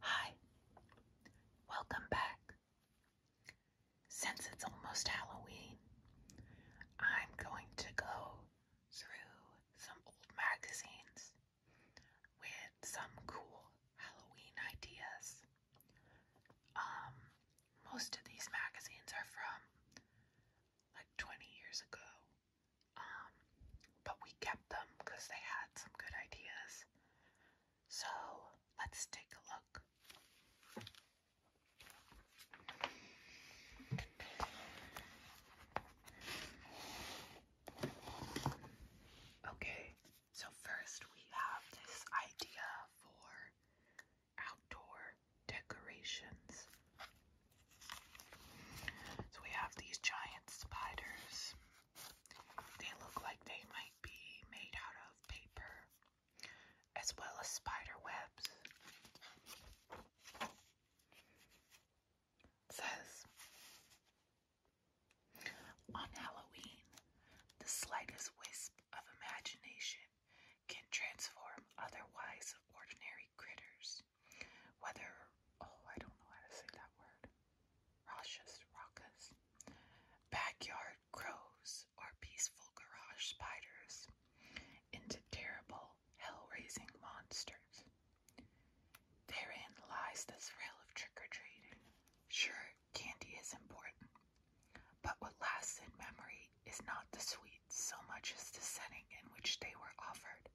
Hi, welcome back. Since it's almost Halloween, I'm going to go through some old magazines with some cool Halloween ideas. Um, most of these magazines are from like 20 years ago, um, but we kept them because they had some good ideas. So let's take a look. Okay, so first we have this idea for outdoor decorations. So we have these giant spiders they look like they might be made out of paper, as well as spider webs. says, on Halloween, the slightest wisp of imagination can transform otherwise ordinary critters, whether, oh, I don't know how to say that word, Roshes, rockas, backyard crows or peaceful garage spiders into terrible, hell-raising monsters. Therein lies the thrill of trick-or-treating. Sure, candy is important, but what lasts in memory is not the sweets so much as the setting in which they were offered.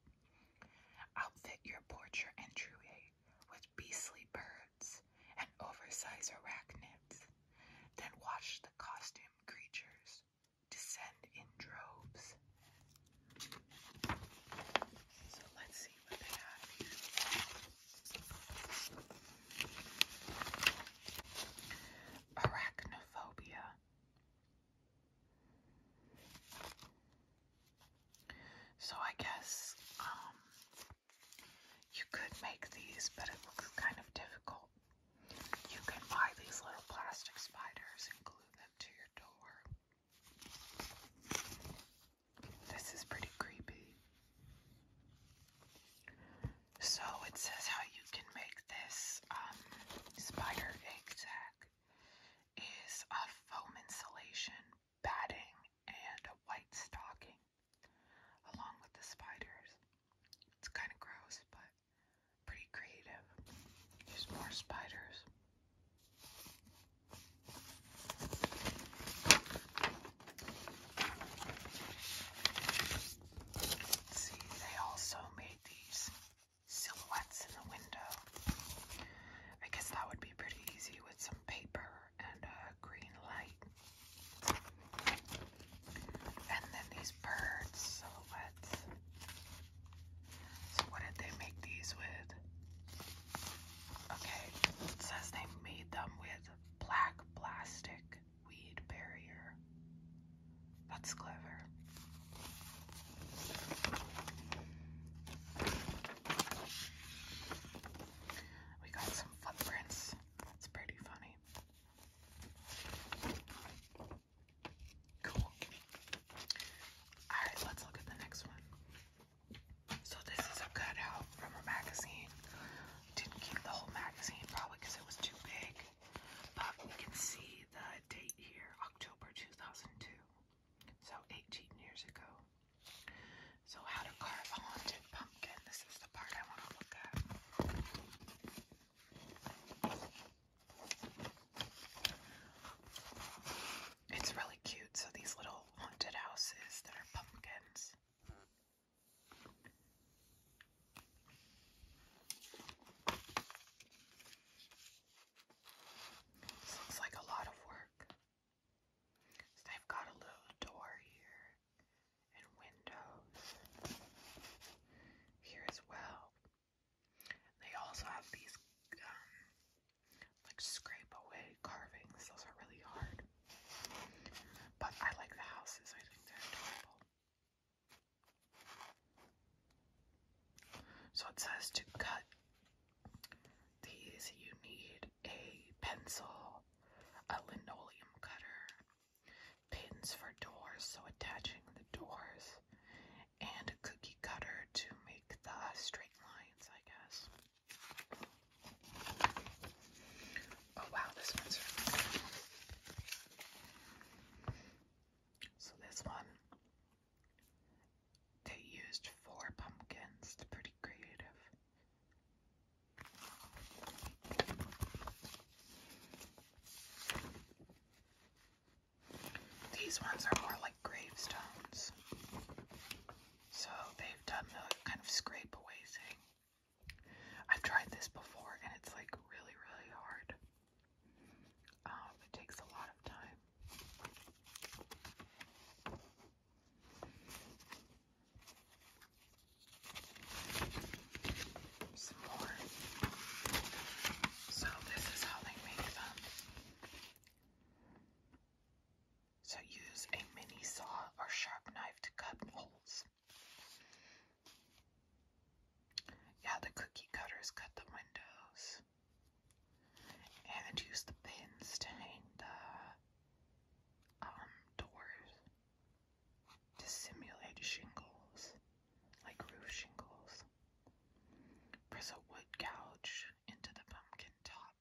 Outfit your porch or entryway with beastly birds and oversized arachnids, then watched the costumed creatures descend in droves. So let's see what they have Arachnophobia. So I guess um, you could make these, but it looks kind of difficult. You can buy these little plastic spiders and glue them to your door. This is pretty creepy. So it says how you can make this um, spider egg sack is a foam insulation, batting, and a white stocking, along with the spiders. It's kind of gross, but pretty creative. There's more spiders. See, they also made these silhouettes in the window. I guess that would be pretty easy with some paper and a green light. And then these bird silhouettes. So what did they make these with? Okay, it says they made them with black plastic weed barrier. That's clever. We got some footprints. That's pretty funny. Cool. Alright, let's look at the next one. So this is a cutout from a magazine. Didn't keep the whole magazine probably because it was too big. But we can see the date here, October 2002. So 18 years ago. So how to carve a haunted pumpkin. This is the part I want to look at. It's really cute. So these little haunted houses that are pumpkins. This looks like a lot of work. So I've got a little door here and windows here as well. They also have these um, like scrape away carvings. Those are really hard. But I like the houses. I think they're adorable. So it says to cut these, you need a pencil, a linoleum cutter, pins for doors, so attaching the doors, and a cookie cutter to make the straight lines, I guess. Oh wow, this one's So this one they used four pumpkins. They're pretty creative. These ones are more like gravestones. So they've done the kind of scrape away thing. I've tried this before and it's like really, really hard. Um, it takes a lot of time. So this is how they make them. So use a mini saw or sharp knife to cut holes. Yeah, the cookie cutters cut the windows and use the pins to hang the um doors to simulate shingles, like roof shingles. Press a wood couch into the pumpkin top.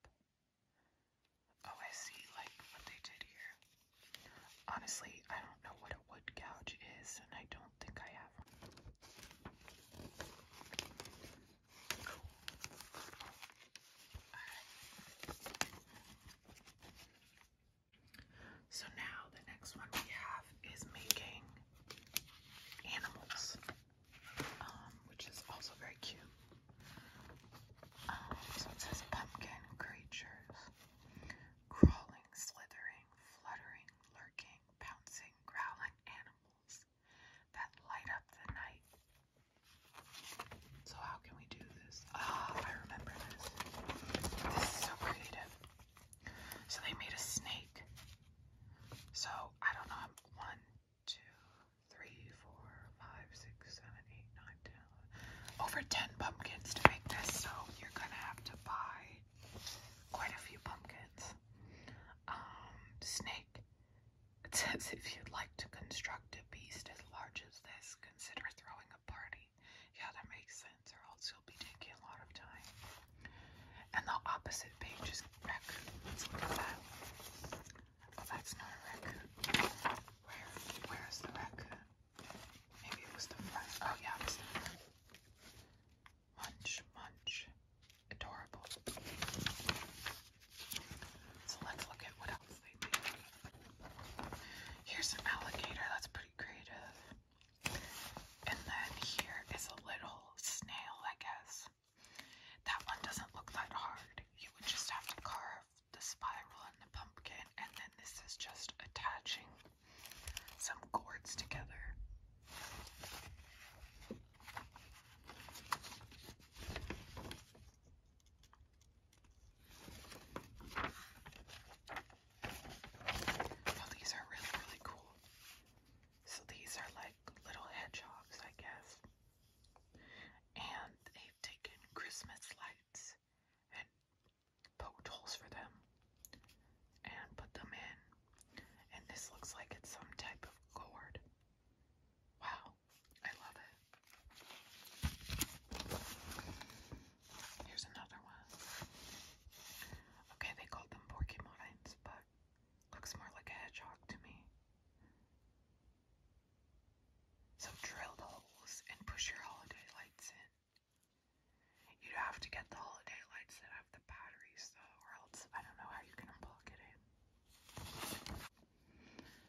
Oh, I see, like what they did here. Honestly, I don't know what a wood couch is, and I don't. So now the next one we have is making animals, um, which is also very cute. Um, so it says pumpkin creatures, crawling, slithering, fluttering, lurking, Pouncing, growling animals that light up the night. So, how can we do this? Ah, I remember this. This is so creative. So, they made a snake. So, I don't know, one, two, three, four, five, six, seven, eight, nine, ten. Over 10 pumpkins to make this, so you're gonna have to buy quite a few pumpkins. Um, snake. It says if you'd like to construct a beast as large as this, consider throwing a party. Yeah, that makes sense, or else you'll be taking a lot of time. And the opposite page is raccoon. Oh, that's not a raccoon. Where? Where is the raccoon? Maybe it was the front. Oh yeah, it was the front. Munch, munch. Adorable. So let's look at what else they made. Here's an alligator. That's pretty creative. And then here is a little snail, I guess. That one doesn't look that hard. You would just have to carve the spiral in the pumpkin, and then this is just attaching some cords together. So these are really, really cool. So these are like little hedgehogs, I guess. And they've taken Christmas lights and poked for them and put them in. And this looks like it's some type of gourd. Wow, I love it. Here's another one. Okay, they called them porcupines, but looks more like a hedgehog to me. So drill the holes and push your holiday lights in. You'd have to get the holiday lights that have the batteries though, or else I don't know how you can unplug it in.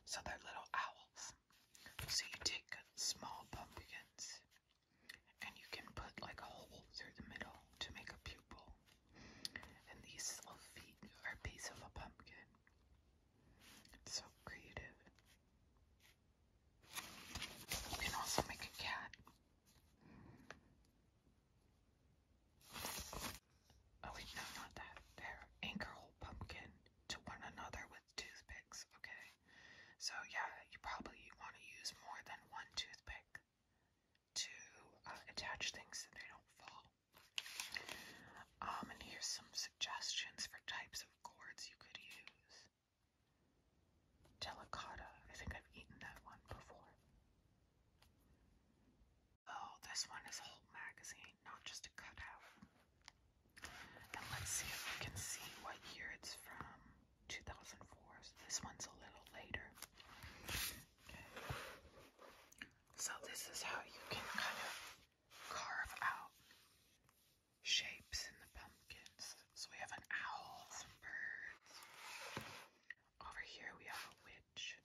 So they little owls. So you take small pumpkins and you can put like a hole through the middle to make a pupil. And these little feet are a piece of a pumpkin. It's so creative. You can also make a cat. Oh wait, no, not that. There. Anchor whole pumpkin to one another with toothpicks, okay? So yeah, you probably want to use more than one toothpick to uh, attach things so they don't fall. Um, and here's some suggestions for types of cords you could use. Delicata. I think I've eaten that one before. Oh, this one is whole magazine, not just a cutout. And let's see if we can see what year it's from. 2004. this one's a little later. So this is how you can kind of carve out shapes in the pumpkins. So we have an owl, some birds. Over here we have a witch.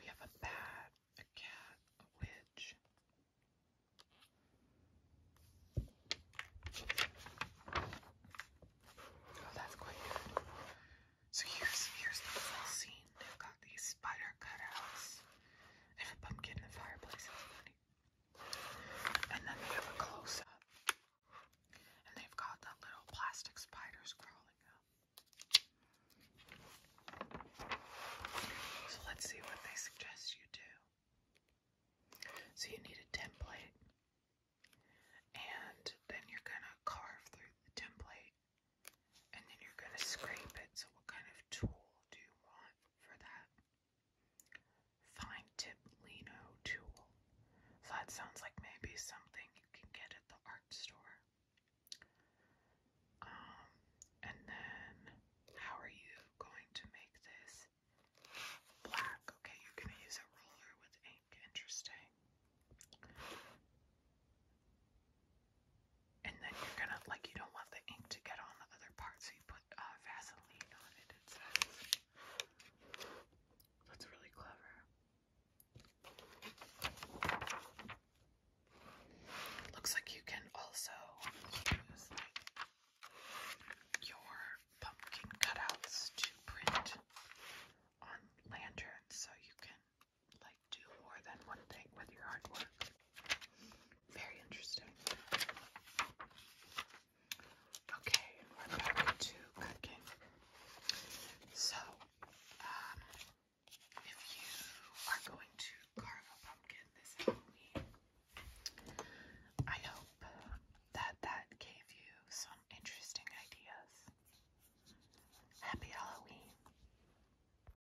We have a bat, a cat, a witch. Oh, that's quite good. So here's here's the full scene. They've got these spider cutouts. They have a the fireplace. And then they have a close-up. And they've got the little plastic spiders crawling up. So let's see what they suggest you do. So you need a template. And then you're going to carve through the template. And then you're going to scrape it. So what kind of tool do you want? for that. Fine tip lino tool. So that sounds like maybe something you can get at the art store. Um, and then how are you going to make this black? Okay, you're gonna use a roller with ink. Interesting and then you're gonna like you don't want the ink to get on the other part, so you put uh, Vaseline on it. It that's really clever. Looks like you can also use your pumpkin cutouts to print on lanterns, so you can like do more than one thing with your artwork. Very interesting. Okay, back to cooking. So, um, if you are going to carve a pumpkin this Halloween, I hope that that gave you some interesting ideas. Happy Halloween!